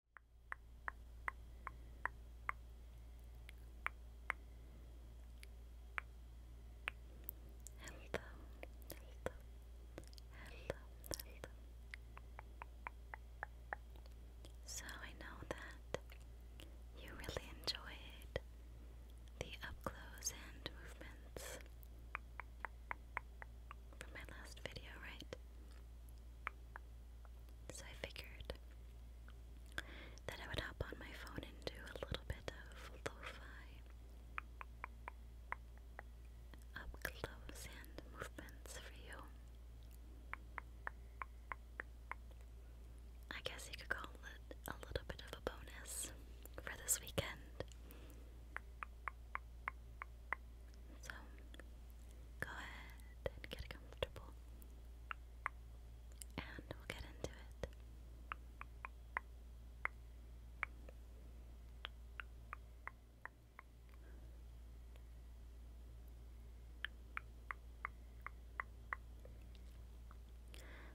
hello, hello, hello. So I know that you really enjoyed the up close and movements from my last video, right? So I figured that I would hop on my phone and do a little bit of lo up close and movements for you. I guess you could call it a little bit of a bonus for this weekend. So go ahead and get comfortable, and we'll get into it.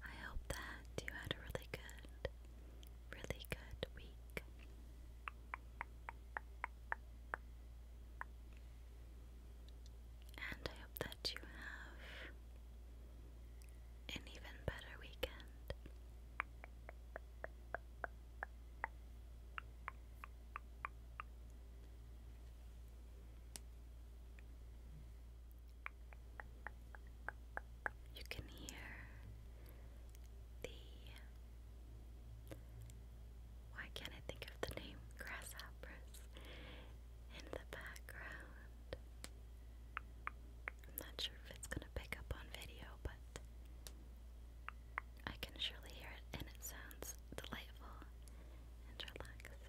I hope that you had a really good, really good week. And I hope that you have an even better weekend. You can hear the why can't I think of the name grasshoppers in the background? I'm not sure if it's going to pick up on video, but I can surely hear it, and it sounds delightful and relaxing.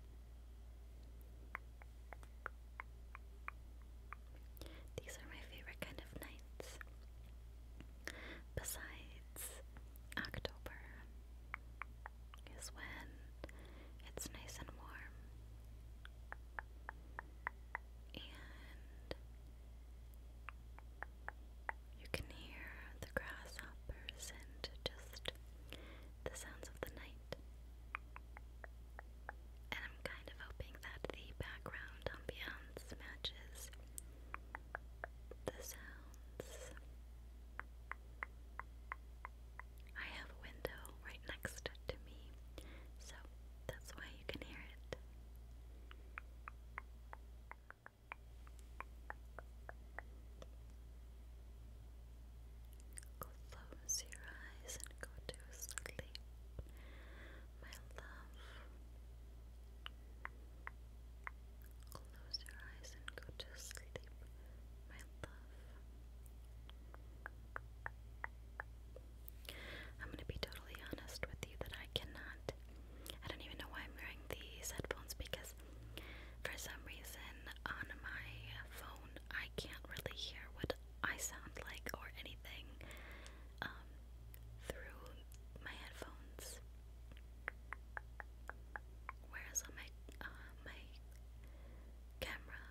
These are my favorite kind of nights. Besides, October is when it's nice and warm. And you can hear the grasshoppers and just the sounds of the night. And I'm kind of hoping that the background ambiance matches the sounds. I have a window right next to me, so that's why you can hear it. Close your eyes and go to sleep, my love. Close your eyes and go to sleep, my love. I'm gonna be totally honest with you that I cannot. I don't even know why I'm wearing these headphones because for some reason, on my phone, I can't really hear what I sound like or anything um, through my headphones. Whereas on my uh, my camera,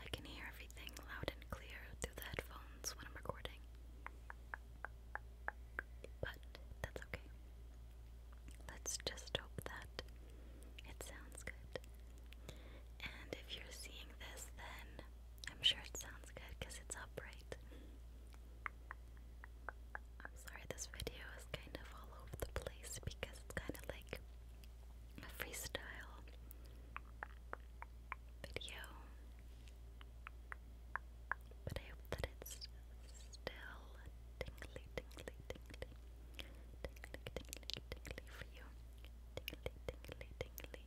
I can hear everything loud and clear through the headphones when I'm recording but that's okay. Let's just hope that it sounds good. And if you're seeing this, then I'm sure it sounds good because it's upright. I'm sorry, this video is kind of all over the place because it's kind of like a freestyle video. But I hope that it's still tingly, tingly, tingly, tingly, tingly, tingly for you. Tingly, tingly, tingly.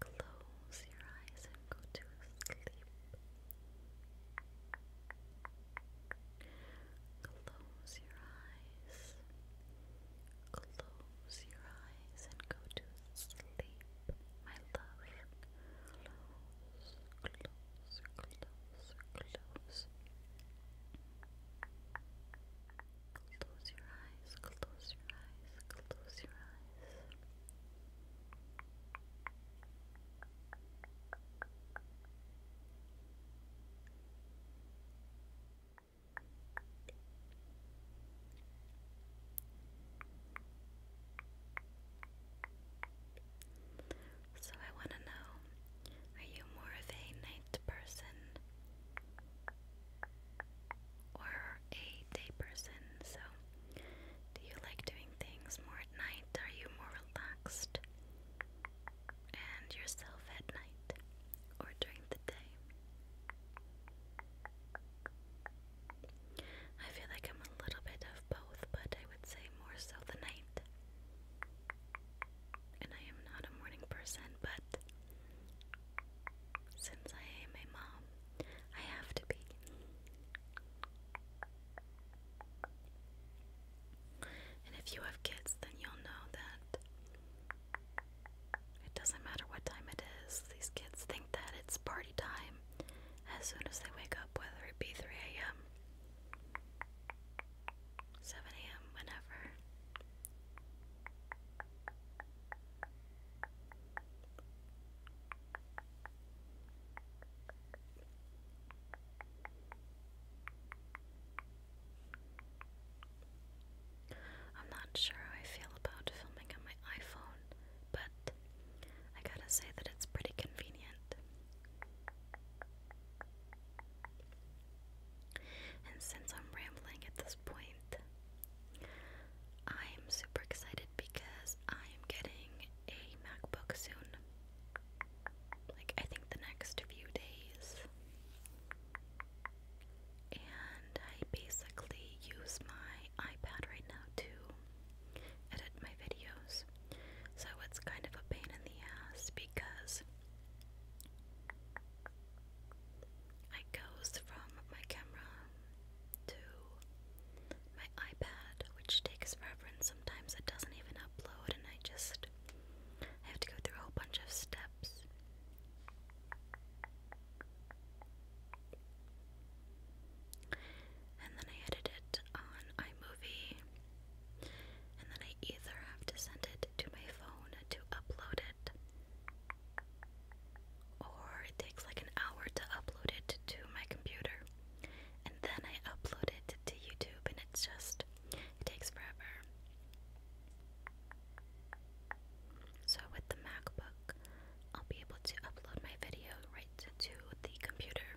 Close your eyes and go to sleep. Close your eyes. Close your eyes and go to sleep, my love. Close, close, close, close. Close your eyes, close your eyes, close your eyes. So I want to know, are you more of a night person or a day person? So, do you like doing things more at night? Are you more relaxed and yourself at night or during the day? I feel like I'm a little bit of both, but I would say more so the night. And I am not a morning person, but since I am a mom, I have to be. And if you have kids, then you'll know that it doesn't matter what time it is, these kids think that it's party time as soon as they wake up, whether it be 3 a.m., 7 a.m., whenever. I'm not sure how I feel about filming on my iPhone, but I gotta say that it's pretty convenient. And since I'm rambling at this point, I'm super excited because I'm getting a MacBook soon. Like, I think the next few days. And I basically use my iPad right now to edit my videos. So it's kind of a pain in the ass because it goes from my camera to my iPad, which takes forever, and sometimes it doesn't even upload, and I just I have to go through a bunch of steps and then I edit it on iMovie. And then I either have to send it to my phone to upload it, or it takes like an hour to upload it to my computer. And then I upload it to YouTube, and it's just it takes forever. So with the MacBook, I'll be able to upload my video right to, the computer,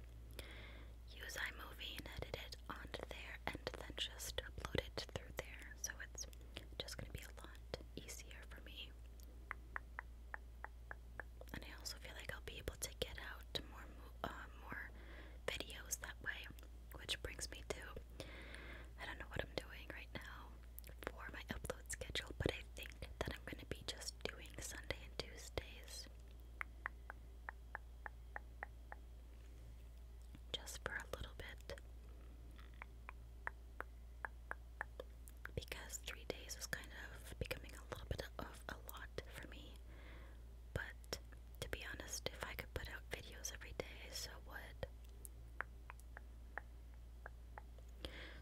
use iMovie and edit it on there, and then just upload it through there. So it's just going to be a lot easier for me. And I also feel like I'll be able to get out more, uh, more videos that way, which brings me to I don't know what I'm doing right now for my upload schedule, but I think that I'm going to be just doing Sunday and Tuesdays. Just for a little bit. Because three days is kind of becoming a little bit of a lot for me. But to be honest, if I could put out videos every day, I so would.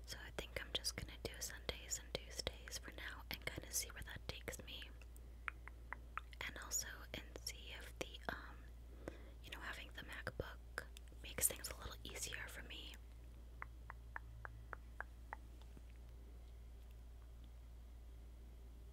So I think I'm just gonna do Sundays and Tuesdays for now and kind of see where that takes me. And also, and see if the, um, you know, having the MacBook makes things a little easier for me.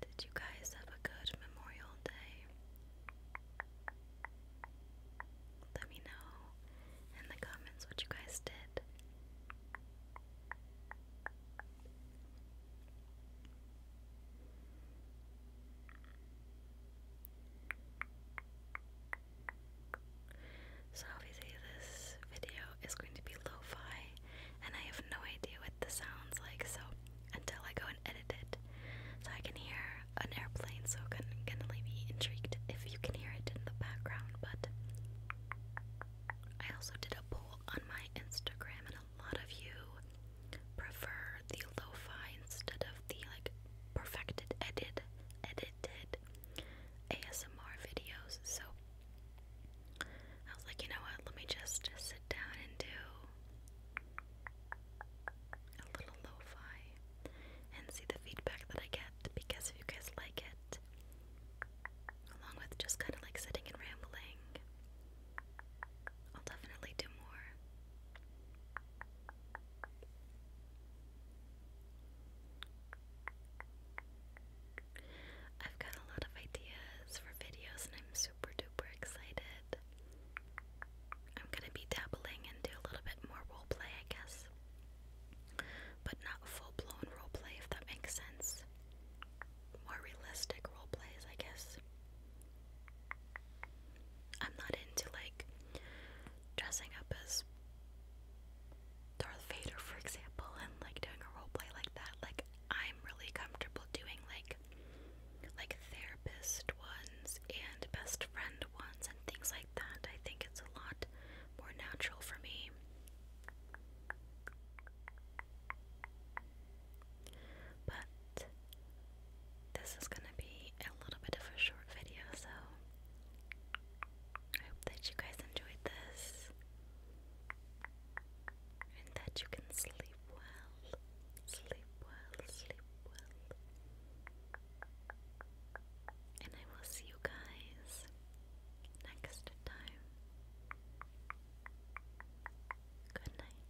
Did you guys have a good Memorial Day? Let me know in the comments what you guys did. So, obviously, this video is going to be lo fi and I have no idea what the sounds like so until I go and edit it so I can hear an airplane so I'm gonna be intrigued if you can hear it in the background but I also did a poll on my Instagram and a lot of you prefer the lo-fi instead of the like perfected edited edited ASMR videos so I was like, you know what? Let me just sit down and do a little lo and see the feedback that I get because if you guys like it, along with just kind of like sitting and rambling, I'll definitely do more. I've got a lot of ideas for videos and I'm super duper excited. I'm gonna be dabbling into a little bit more roleplay, I guess. But not full blown roleplay, if that makes sense. More realistic roleplays, I guess. I'm not into like dressing up as Darth Vader, for example, and like doing a roleplay like that. Like, I'm really comfortable doing like like therapist ones and best friend ones and things like that. I think it's a lot more natural for me. But this is going to be a little bit of a short video, so I hope that you guys enjoyed this and that you can sleep well, sleep well, sleep well. And I will see you guys next time. Good night.